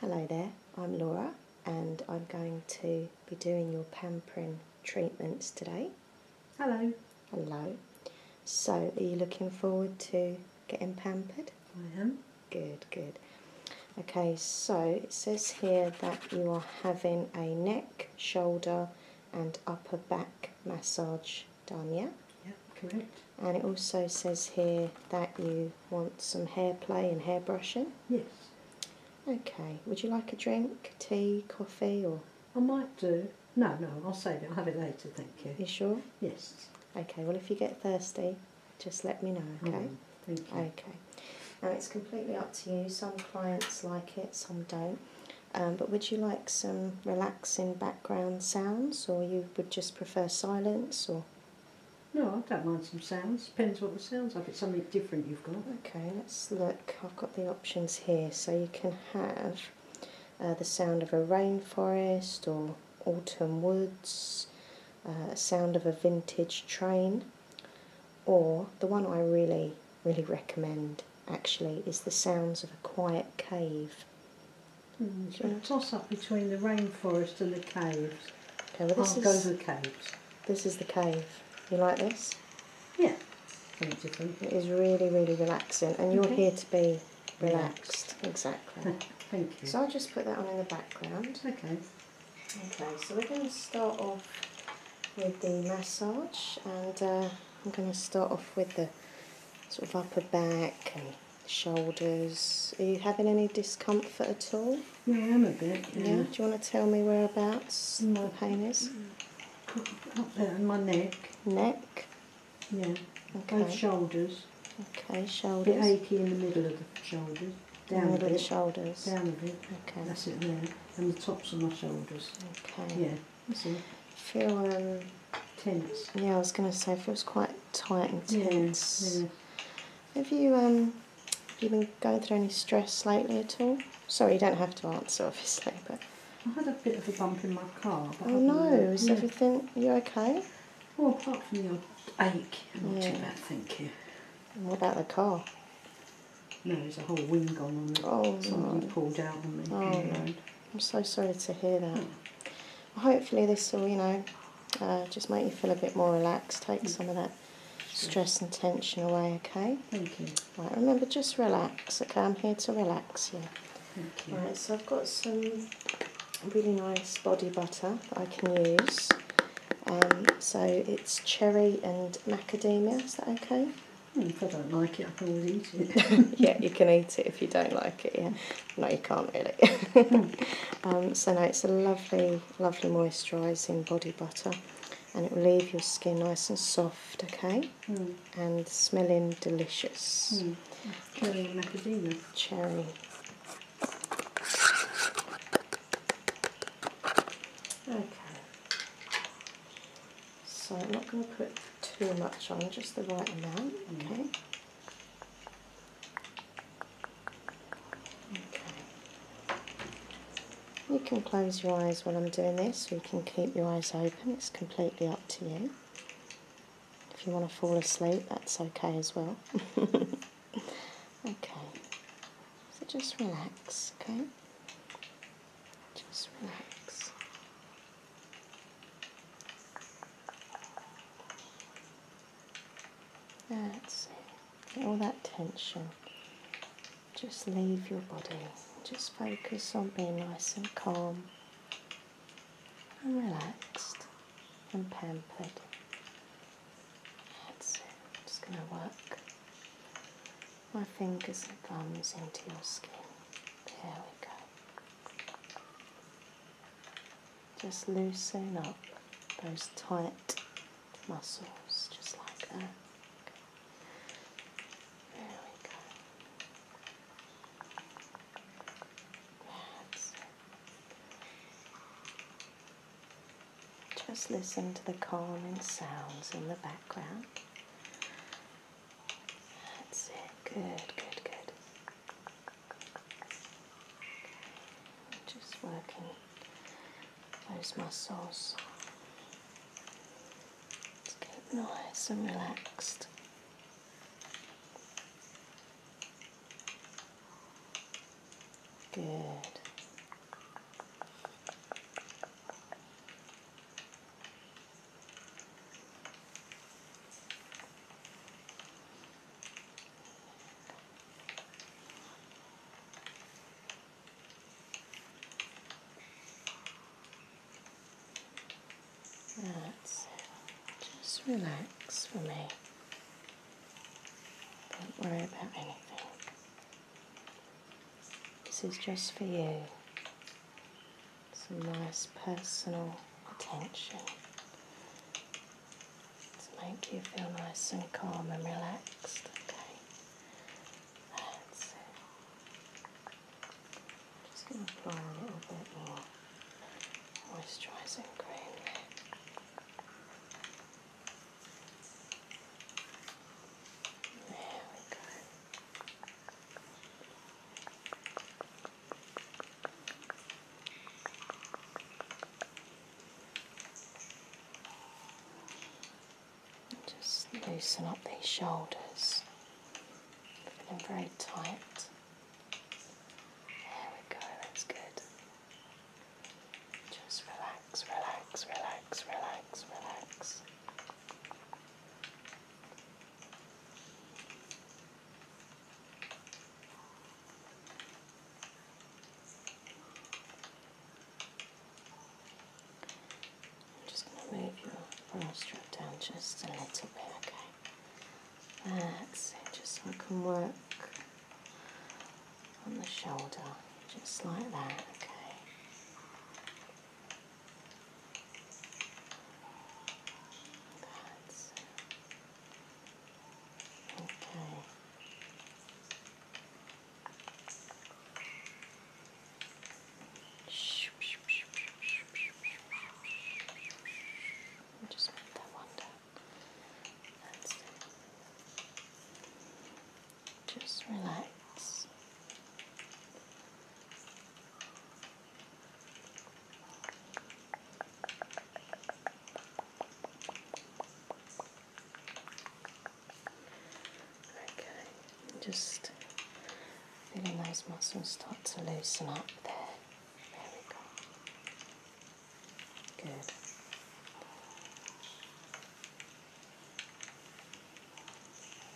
Hello there, I'm Laura and I'm going to be doing your pamperin treatments today. Hello. Hello. So, are you looking forward to getting pampered? I am. Good, good. Okay, so it says here that you are having a neck, shoulder and upper back massage done, yeah? Yeah, correct. And it also says here that you want some hair play and hair brushing? Yes. Okay, would you like a drink, tea, coffee or...? I might do. No, no, I'll save it. I'll have it later, thank you. You sure? Yes. Okay, well if you get thirsty, just let me know, okay? Mm-hmm. thank you. Okay. Now it's completely up to you. Some clients like it, some don't. Um, but would you like some relaxing background sounds or you would just prefer silence or? No, I don't mind some sounds. Depends what the sounds like. It's something different you've got. Okay, let's look. I've got the options here. So you can have uh, the sound of a rainforest or autumn woods, uh, sound of a vintage train, or the one I really, really recommend actually is the sounds of a quiet cave. Hmm, toss up between the rainforest and the caves. Okay, well this is, the caves. This is the cave. You like this? Yeah. Something It is really, really relaxing, and you're here to be relaxed. Exactly. Thank you. So I'll just put that on in the background. Okay. Okay, so we're going to start off with the massage, and uh, I'm going to start off with the sort of upper back shoulders. Are you having any discomfort at all? Yeah, I'm a bit. Yeah. Do you want to tell me whereabouts mm. my pain is? Up there in my neck. Neck. Yeah. Okay. Both shoulders. Okay, shoulders. A bit achy in the middle of the shoulders. Down the middle the shoulders. Down a bit. Okay. That's it there. And the tops of my shoulders. Okay. Yeah. That's it. Feel um, yeah, I was going to say, it feels quite tight and tense. Have you um, have you been going through any stress lately at all? Sorry, you don't have to answer, obviously, but. I had a bit of a bump in my car. oh no! Is everything you okay? apart from your ache, not too bad, thank you. what about the car? No, there's a whole wing gone on it. Oh Someone pulled out on me. Oh no! I'm so sorry to hear that. Hmm. Hopefully this will, you know, uh, just make you feel a bit more relaxed, take mm. some of that stress and tension away, okay? Thank you. Right, remember, just relax, okay? I'm here to relax you. Thank you. Right, so I've got some really nice body butter that I can use. Um, so it's cherry and macadamia, is that okay? Hmm, if I don't like it, I can always eat it. yeah, you can eat it if you don't like it, yeah no you can't really hmm. um, so no it's a lovely lovely moisturising body butter and it will leave your skin nice and soft okay hmm. and smelling delicious hmm. cherry macadamia cherry okay so I'm not going to put too much on just the right amount okay you can close your eyes while I'm doing this, or you can keep your eyes open, it's completely up to you. If you want to fall asleep, that's okay as well. okay, so just relax, okay? Just relax. That's it. Get all that tension. Just leave your body. Just focus on being nice and calm and relaxed and pampered. That's it. just going to work my fingers and thumbs into your skin. There we go just loosen up those tight muscles, just like that. Okay. There That's it. Just listen to the calming sounds in the background. That's it. Good, good, good. Just working. those muscles. Let's get nice and relaxed. Good. Just relax for me. Don't worry about anything. This is just for you. Some nice personal attention to make you feel nice and calm and relaxed. Okay, just going to apply a bit more moisturising cream There we go. Just loosen up these shoulders, feeling very tight. There we go, that's good. Just relax, relax, relax, relax, relax. I'm just going to move your bra strap down just a little bit, okay? That's it, just so I can work on the shoulder, just like that, okay? That's Okay. Just move that one down. Just relax. Okay, just feeling those muscles start to loosen up there. There we go. Good.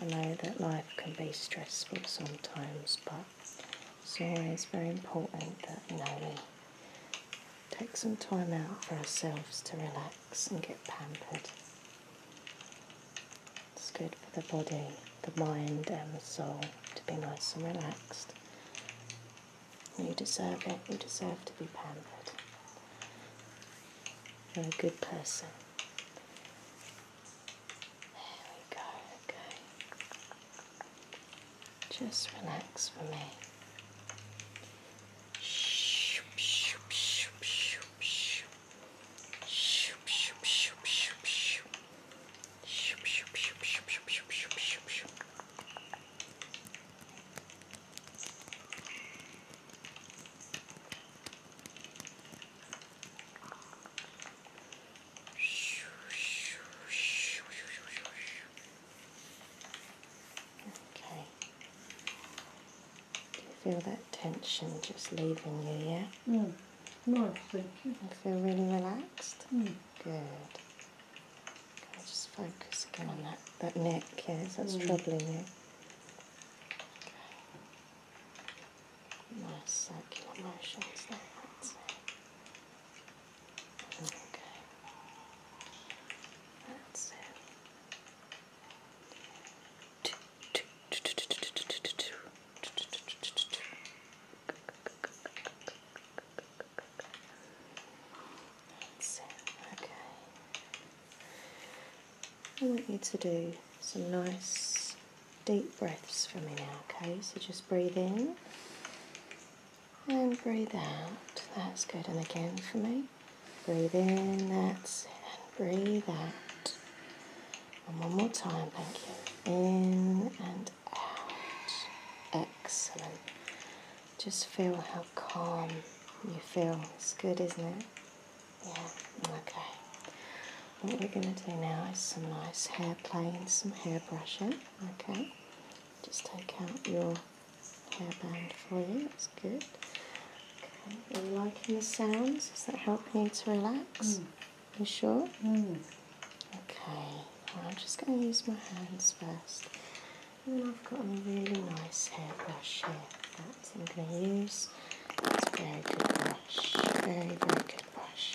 I know that life can be stressful sometimes, but so it's very important that you know we take some time out for ourselves to relax and get pampered. It's good for the body, the mind and the soul to be nice and relaxed. You deserve it, you deserve to be pampered. You're a good person. There we go, okay. Just relax for me. Okay. Do you feel that tension just leaving you, yeah? Mm. Nice, thank you. feel really relaxed? Mm. Good. Okay, just focus again on that, that neck, yes, that's mm. troubling you. Okay. Nice circular motions there, Okay. That's it. That's it. Okay. I want you to do some nice deep breaths for me now, okay? So just breathe in and breathe out. That's good. And again for me. Breathe in, that's And breathe out. And one more time, thank you. In and out. Excellent. Just feel how calm you feel. It's good, isn't it? Yeah, okay. What we're going to do now is some nice hair play and some hair brushing, okay? just take out your hairband for you. That's good. Okay. Are you liking the sounds? Does that help you to relax? Mm. You sure? Hmm. Okay. I'm just going to use my hands first. And then I've got a really nice hairbrush here. That's I'm going to use. That's a very good brush. Very, very good brush.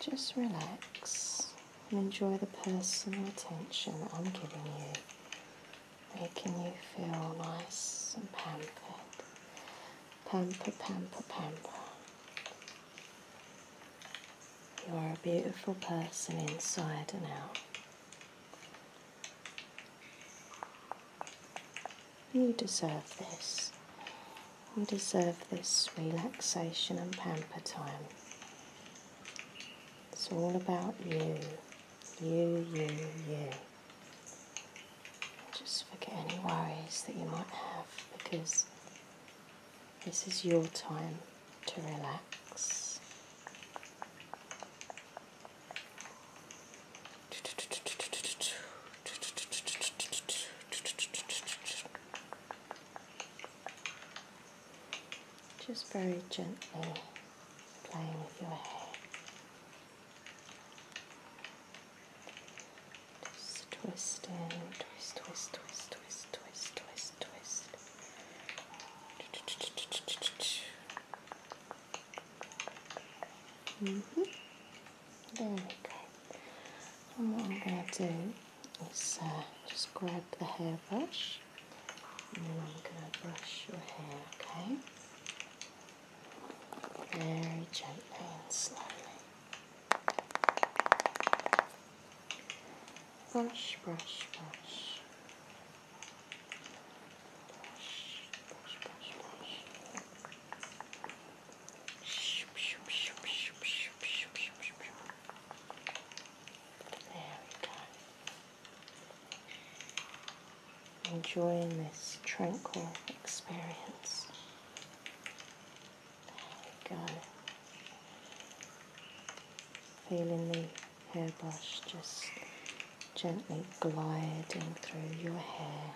just relax and enjoy the personal attention that I'm giving you, making you feel nice and pampered. Pamper, pamper, pamper. You are a beautiful person inside and out. You deserve this. You deserve this relaxation and pamper time. It's all about you. You, you, you. Just forget any worries that you might have because this is your time to relax. Just very gently playing with your hair. Just twist in, twist, twist, twist, twist, twist, twist, twist. Mm And what I'm going to do is uh, just grab the hairbrush and I'm going to brush your hair, okay? Very gently and slowly. Brush, brush, brush. There we go. Enjoying this tranquil experience. There we go. Feeling the hairbrush just gently gliding through your hair.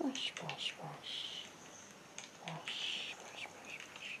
Brush, brush, brush. Brush, brush, brush, brush.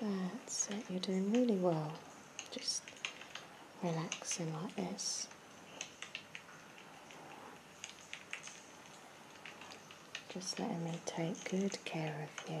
That's it, you're doing really well. Just relaxing like this. Just letting me take good care of you.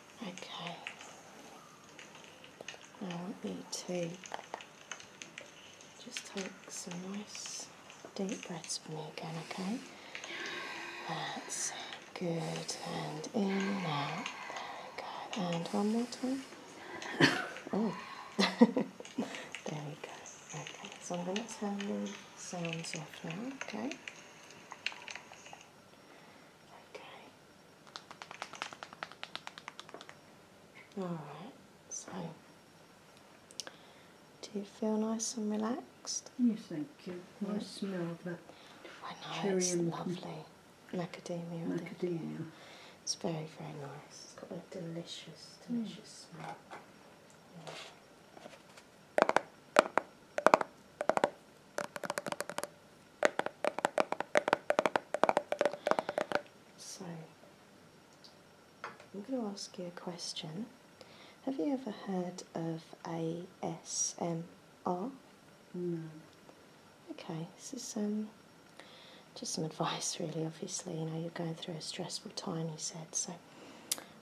Okay. I want you to just take some nice deep breaths for me again, okay? That's good. And in, now. There we go. And one more time. oh. there we go. Okay, so I'm going to turn the sounds off now, okay? Okay. All right. So, do you feel nice and relaxed? Yes, think? you. Nice smell of that. I know it's lovely. Macadamia. Macadamia. It's very, very nice. It's got a delicious, delicious mm. smell. So, I'm going to ask you a question. Have you ever heard of ASMR? No. Okay, this is um, just some advice, really. Obviously, you know, you're going through a stressful time, you said. So,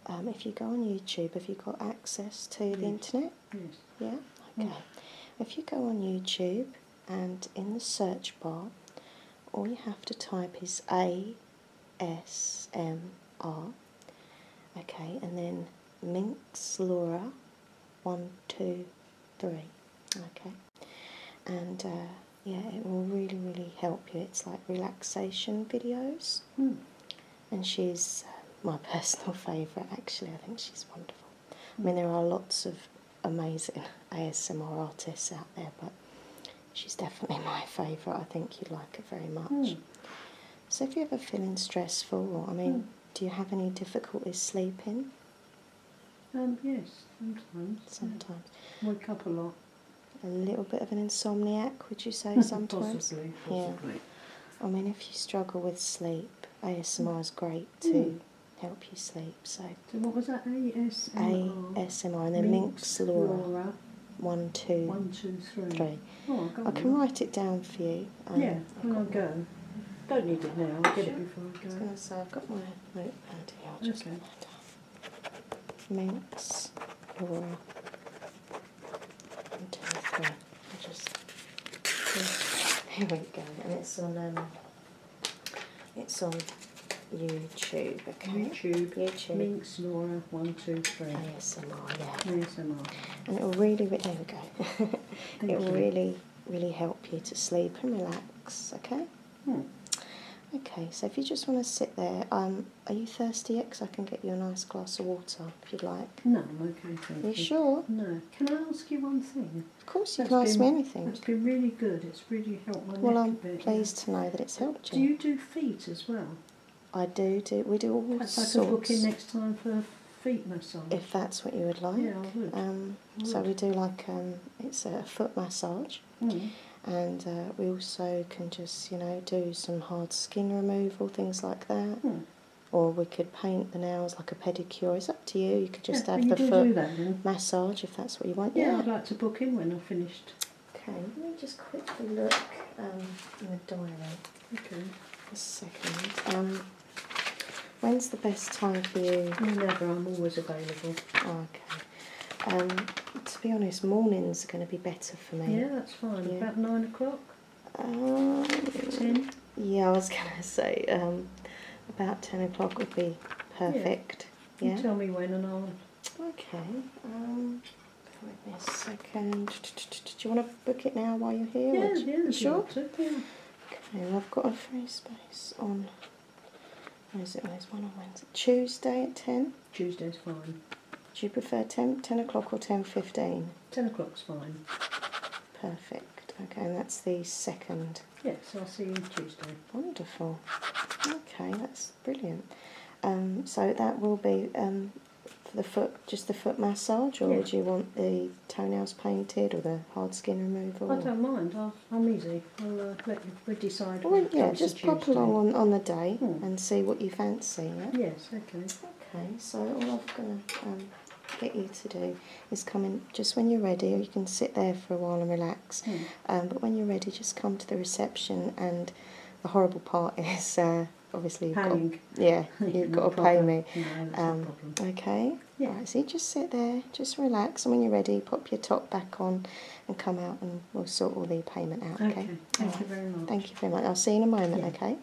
um, if you go on YouTube, have you got access to the internet? Yeah? Okay. Mm. If you go on YouTube and in the search bar, all you have to type is ASMR. Okay, and then Minx Laura 123. Okay. And uh, yeah, it will really, really help you. It's like relaxation videos. Hmm and she's uh, my personal favourite actually. I think she's wonderful. I mean, there are lots of amazing ASMR artists out there, but she's definitely my favourite. I think you like it very much. Hmm. So, if you're ever feeling stressful, I mean, hmm. do you have any difficulties sleeping? Um, yes, sometimes. Sometimes. Wake up a lot. A little bit of an insomniac, would you say sometimes? Yeah. I mean, if you struggle with sleep, ASMR is great to hmm. help you sleep. So, what was that? ASMR. ASMR, and then Minx, Laura. one two three. Oh, I, can write it down for you. Um, yeah, when I go. One. Don't need it now. I'll get it before I go. I was going to say I've got my notepad here. just okay. Minx, Laura. One, two, three. I just here we go, and it's on um, it's on YouTube. Okay, YouTube. YouTube. Minx Laura one two three. ASMR, yeah. ASMR. And it'll really, re there we go. it'll really, really help you to sleep and relax. Okay. Hmm. Okay, so if you just want to sit there, um, are you thirsty yet? Because I can get you a nice glass of water if you'd like. No, I'm okay. Thank you. you sure? No. Can I ask you one thing? Of course, you can ask me anything. It's been really good. It's really helped well, I'm pleased to know that it's helped you. Do you do feet as well? I do. Do we do all Perhaps I could book in next time for feet massage. If that's what you would like. Yeah, I would. Um, so we do like um, it's a foot massage. Hmm. And uh, we also can just, you know, do some hard skin removal, things like that. Hmm or we could paint the nails like a pedicure. It's up to you. You could just have the foot massage if that's what you want. Yeah, I'd like to book in when I've finished. Okay, let me just quickly look um, in the diary. Okay. A second. Um, when's the best time for you? Never. I'm always available. Oh, okay. Um, to be honest, mornings are going to be better for me. Yeah, that's fine. Yeah. About nine o'clock. Um, yeah, I was gonna say um, about ten o'clock would be perfect. Yeah. tell me when and I'll. Okay. Um, wait a second. Do you want to book it now while you're here? Yeah, yeah. Sure. Okay. I've got a free space on. Where is it? There's one on Wednesday. Tuesday at ten. Tuesday's fine. Do you prefer 10, 10 o'clock or ten fifteen? Ten o'clock's fine. Perfect. Okay, and that's the second. Yes, I'll see you Tuesday. Wonderful. Okay, that's brilliant. Um, so that will be um, the foot, just the foot massage, or do you want the toenails painted or the hard skin removal? I don't mind. i am easy. Uh, we'll decide. yeah, just pop along on, on the day hmm. and see what you fancy. Yes. Okay. Okay. So all I'm gonna um, get you to do is coming just when you're ready, you can sit there for a while and relax. Hmm. Um, but when you're ready, just come to the reception. And the horrible part is uh, obviously, you've got, yeah, you've got to pay me. Um, okay, yeah. Right, so just sit there, just relax, and when you're ready, pop your top back on and come out, and we'll sort all the payment out. Okay, thank you very much. Thank you very much. I'll see you in a moment, yeah. okay?